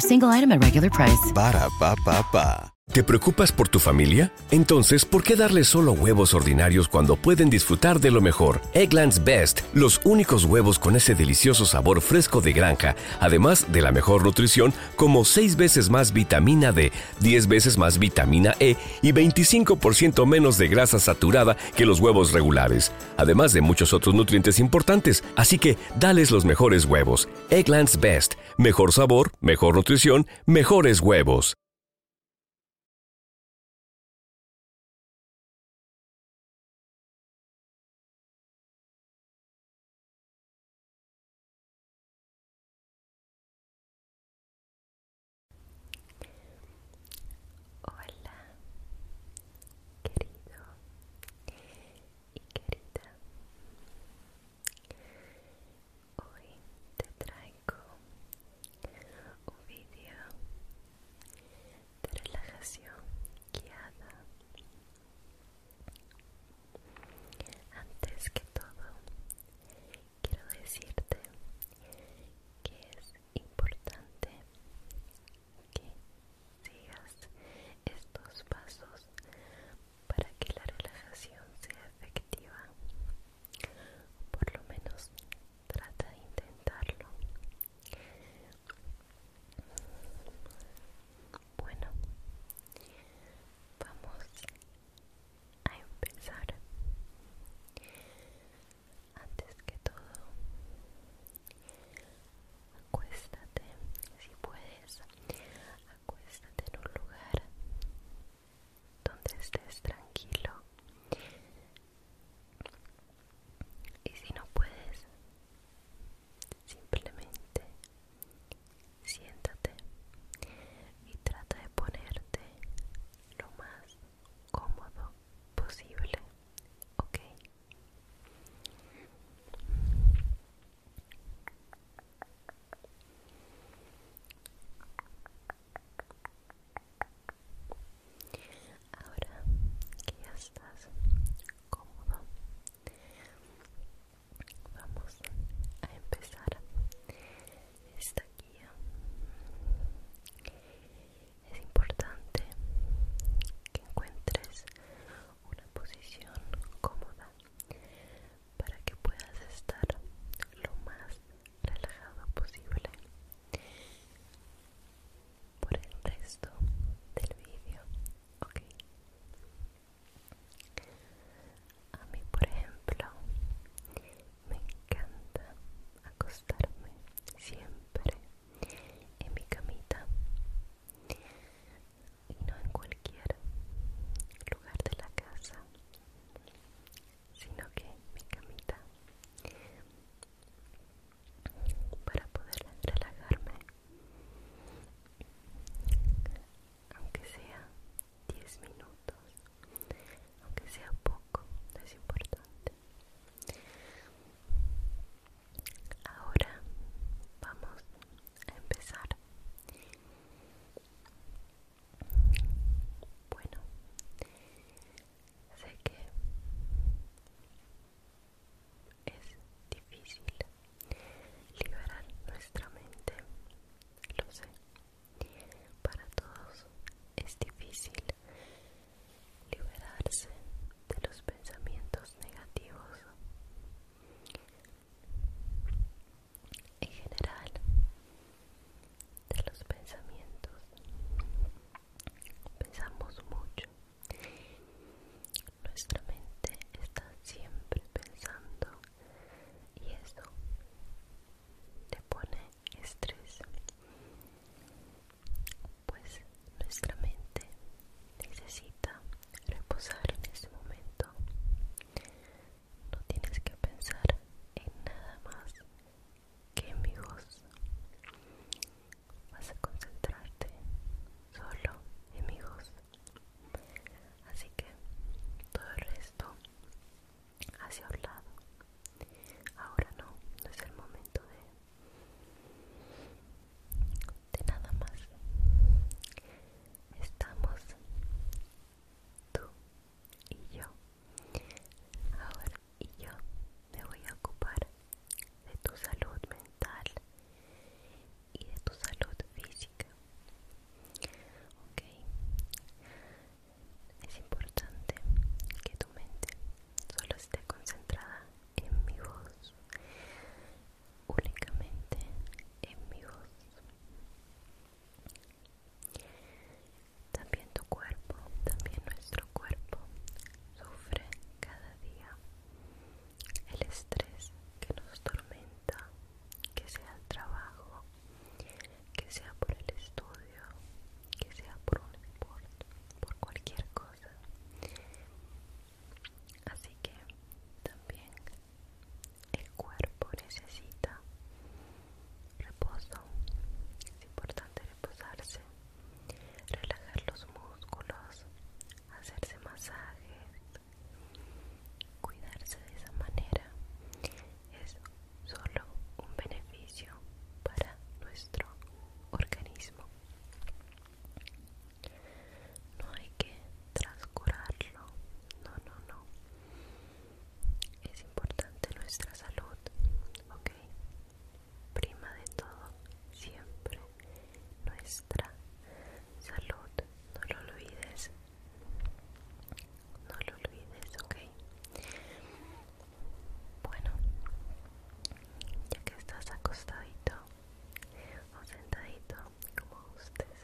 single te preocupas por tu familia? Entonces, ¿por qué darle solo huevos ordinarios cuando pueden disfrutar de lo mejor? Eggland's Best, los únicos huevos con ese delicioso sabor fresco de granja, además de la mejor nutrición, como 6 veces más vitamina D, 10 veces más vitamina E y 25% menos de grasa saturada que los huevos regulares además de muchos otros nutrientes importantes, así que dales los mejores huevos. Egglands Best, mejor sabor, mejor nutrición, mejores huevos. Hola, querido y querida hoy te traigo un video de relajación guiada antes que todo quiero decirte que es importante que sigas estos pasos para que la relajación sea efectiva. Por lo menos trata de intentarlo. Bueno, vamos a empezar antes que todo acuéstate si puedes acuéstate en un lugar donde estés tranquilo y si no puedes simplemente siéntate y trata de ponerte lo más cómodo posible ok Ahora que ya estás cómodo, vamos a empezar esta guía es importante que encuentres una posición cómoda para que puedas estar lo más relajado posible por el resto del vídeo, ok. A mí, por ejemplo, me encanta acostarme siempre en mi camita y no en cualquier lugar de la casa, sino que En mi camita para poder relajarme, aunque sea 10 minutos, aunque sea poco, no es importante. Ahora vamos a empezar. Bueno, sé que es difícil liberar nuestra mente, lo sé. Para todos es difícil liberarse de los pensamientos negativos. En general, de los pensamientos. Pensamos mucho. Nuestra mente está siempre pensando y eso te pone estrés pues nuestra mente necesita reposar en este momento. No tienes que pensar en nada más que en mi voz. Vas a concentrarte solo en mi voz. Así que todo el resto hacia un lado. Ahora no es el momento de de nada más estamos tú y yo ahora y yo me voy a ocupar de tu salud mental y de tu salud física ok es importante que tu mente solo esté concentrada en mi voz, únicamente en mi voz. También tu cuerpo, también nuestro cuerpo sufre cada día el estrés que nos tormenta, que sea el trabajo, que sea por el estudio que sea por un deporte, por cualquier cosa así que también el cuerpo necesita reposo es importante reposarse relajar los músculos hacerse masajes cuidarse de esa manera eso solo un beneficio para nuestro organismo. No hay que transcurarlo, no, no, no. Es importante nuestra salud, ¿ok? Prima de todo, siempre nuestra salud, no lo olvides. No lo olvides, ok. Bueno, ya que estás acostadito o sentadito como gustes,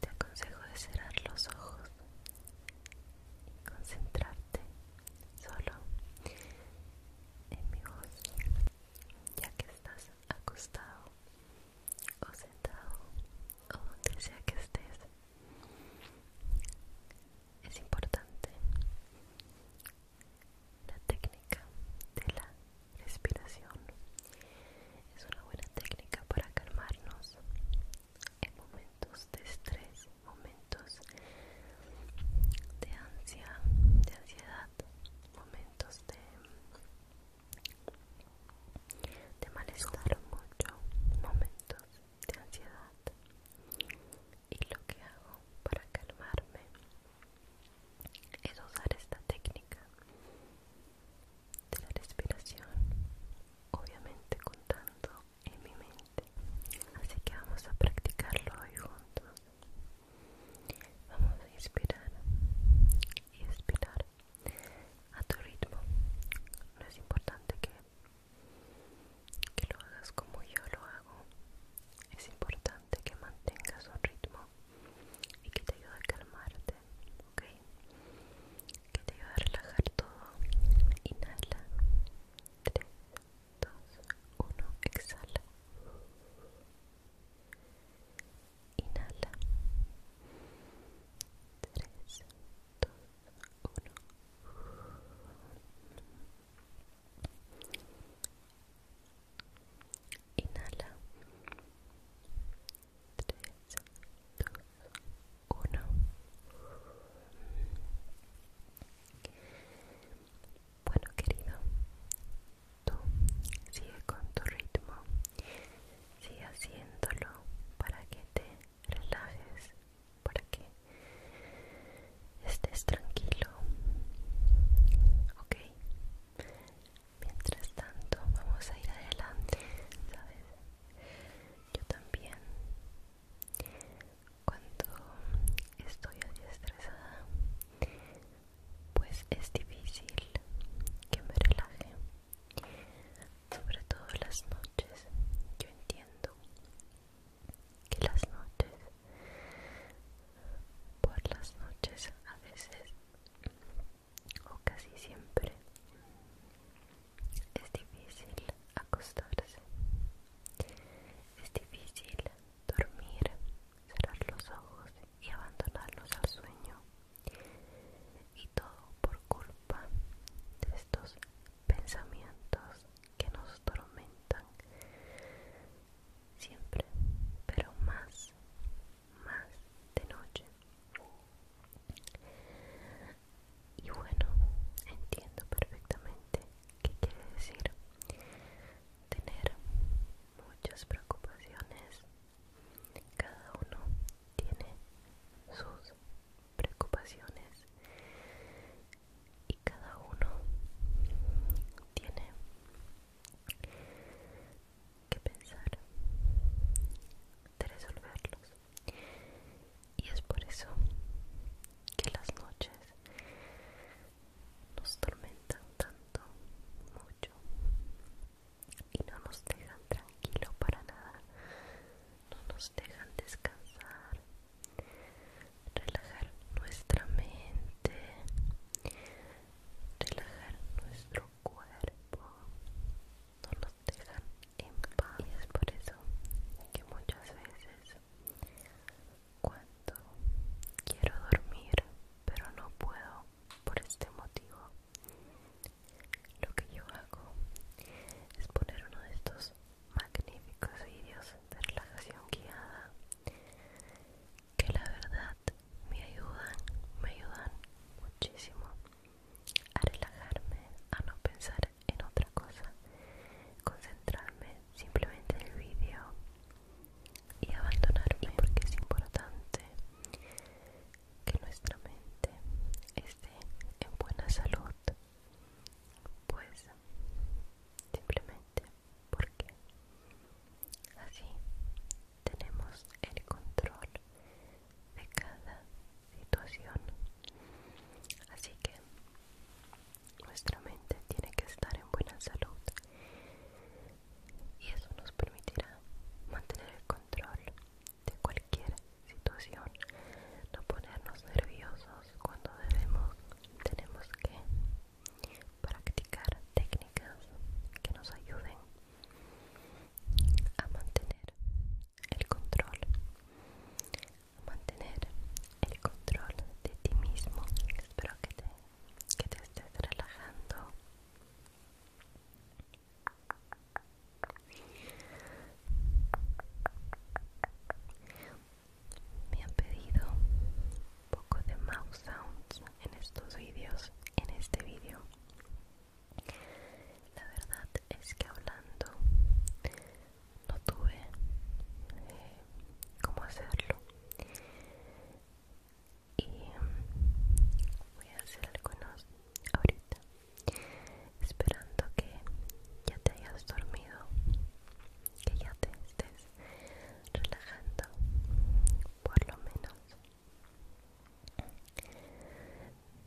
te aconsejo de cerrar los ojos y concentrarte solo en mi voz, ya que estás acostado o sentado o donde sea que estés es importante la técnica de la respiración. Es una buena técnica para calmarnos en momentos de estrés, momentos de ansia, de ansiedad, momentos de de malestar mucho, momentos de ansiedad y lo que hago para calmarme es usar esta técnica de la respiración obviamente contando en mi mente así que vamos a practicarlo hoy juntos vamos a inspirar y expirar a tu ritmo no es importante que que lo hagas como yo lo hago. Es importante que mantengas un ritmo y que te ayude a calmarte, ¿ok? Que te ayude a relajar todo. Inhala. 3, 2, 1. Exhala. Inhala. 3, 2, 1. Inhala. 3, 2, 1. Bueno, querido, tú sigue con tu ritmo. Sigue haciéndolo para que te relajes para que estés tranquilo ok mientras tanto vamos a ir adelante sabes yo también cuando estoy estresada pues es difícil que me relaje sobre todo las noches. Yo entiendo que las noches, por las noches a veces o casi siempre, es difícil acostarse, es difícil dormir, cerrar los ojos y abandonarlos al sueño. Y todo por culpa de estos pensamientos que nos tormentan siempre, pero más, más de noche. Y bueno, entiendo perfectamente qué quiere decir tener muchas preocupaciones. Cada uno tiene sus preocupaciones y cada uno tiene que pensar de resolverlos y es por eso que las noches nos tormentan tanto mucho y no nos dejan tranquilo para nada no nos dejan descansar, relajar nuestra mente, relajar nuestro cuerpo, no nos dejan en paz. Y es por eso que muchas veces cuando quiero dormir pero no puedo por este motivo lo que yo hago es poner uno de estos magníficos vídeos de relajación guiada que la verdad me ayudan, me ayudan muchísimo a relajarme, a no pensar en otra cosa, concentrarme simplemente en el vídeo y abandonarme porque es importante que nuestra mente esté en buena salud pues simplemente porque así tenemos el control de cada situación así que nuestra mente tiene que estar en buena salud y eso nos permitirá mantener el control de cualquier situación, no ponernos nerviosos cuando debemos, tenemos que practicar técnicas que nos ayuden a mantener el control, a mantener el control de ti mismo. Espero que te, que te estés relajando me han pedido un poco de mouse sounds en estos vídeos, en este vídeo. La verdad es que hablando no tuve eh, cómo hacerlo. Y voy a hacer algunos ahorita esperando que ya te hayas dormido, que ya te estés relajando, por lo menos.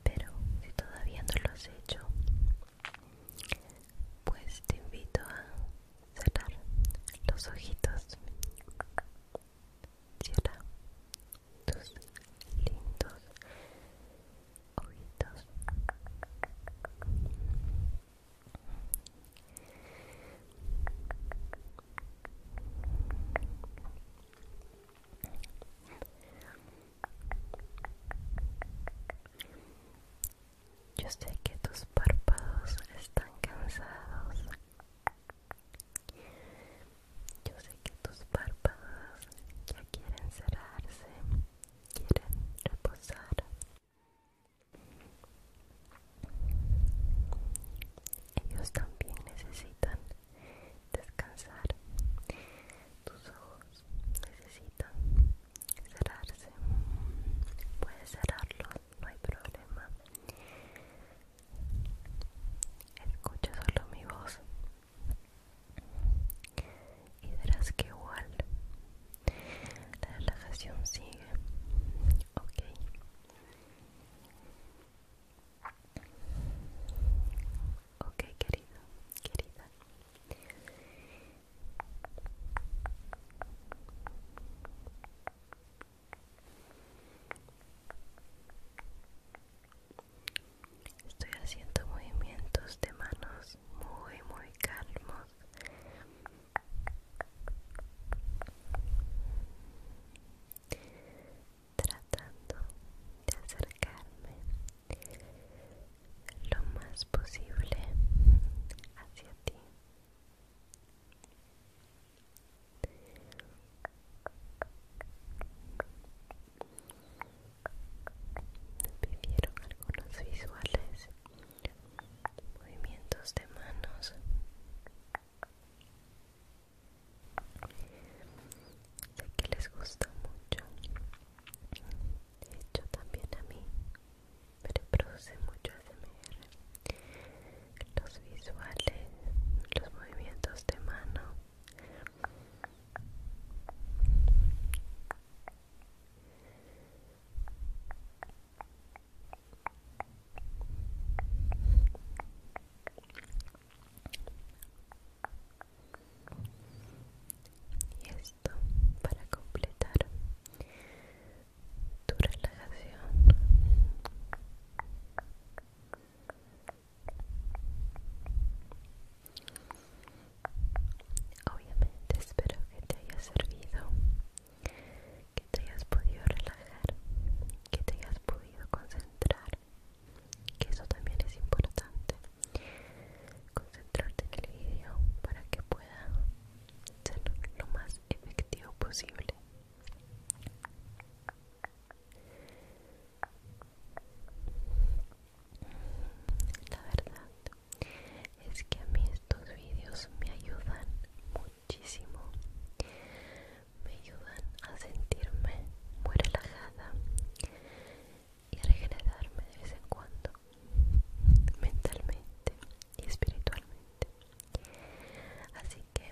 Pero si todavía no lo has hecho, pues te invito a cerrar los ojitos. Cierra tus lindos ojitos yo sé que tus párpados están cansados yo sé que tus párpados ya quieren cerrarse, quieren reposar. Ellos también necesitan descansar. Tus ojos necesitan cerrarse. Puedes cerrarlos, no hay problema. Escucha solo mi voz y verás que igual la relajación sigue okay, okay querido querida Estoy haciendo movimientos de manos muy, muy calmos. Tratando de acercarme lo más posible hacia ti pidieron algunos visuales movimientos de manos sé que les gusta mucho de hecho también a mí pero produce mucho SMR los visuales los movimientos de mano y esto para completar tu relajación. Obviamente espero que te haya servido, que te hayas podido relajar, que te hayas podido concentrar, que eso también es importante, concentrarte en el video para que pueda ser lo más efectivo posible. La verdad es que a mí estos vídeos me ayudan muchísimo. Me ayudan a sentirme muy relajada y a regenerarme de vez en cuando, mentalmente y espiritualmente. Así que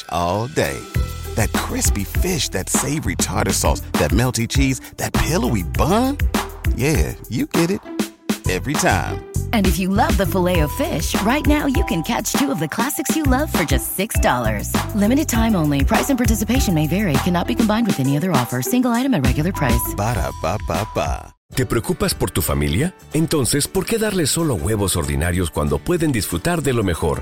all day. That crispy fish, that savory tartar sauce, that melty cheese, that pillowy bun. Yeah, you get it every time. And if you love the filet of fish, right now you can catch two of the classics you love for just $6. Limited time only. Price and participation may vary. Cannot be combined with any other offer. Single item at regular price. Ba da ¿Te preocupas por tu familia? Entonces, ¿por qué darles solo huevos ordinarios cuando pueden disfrutar de lo mejor?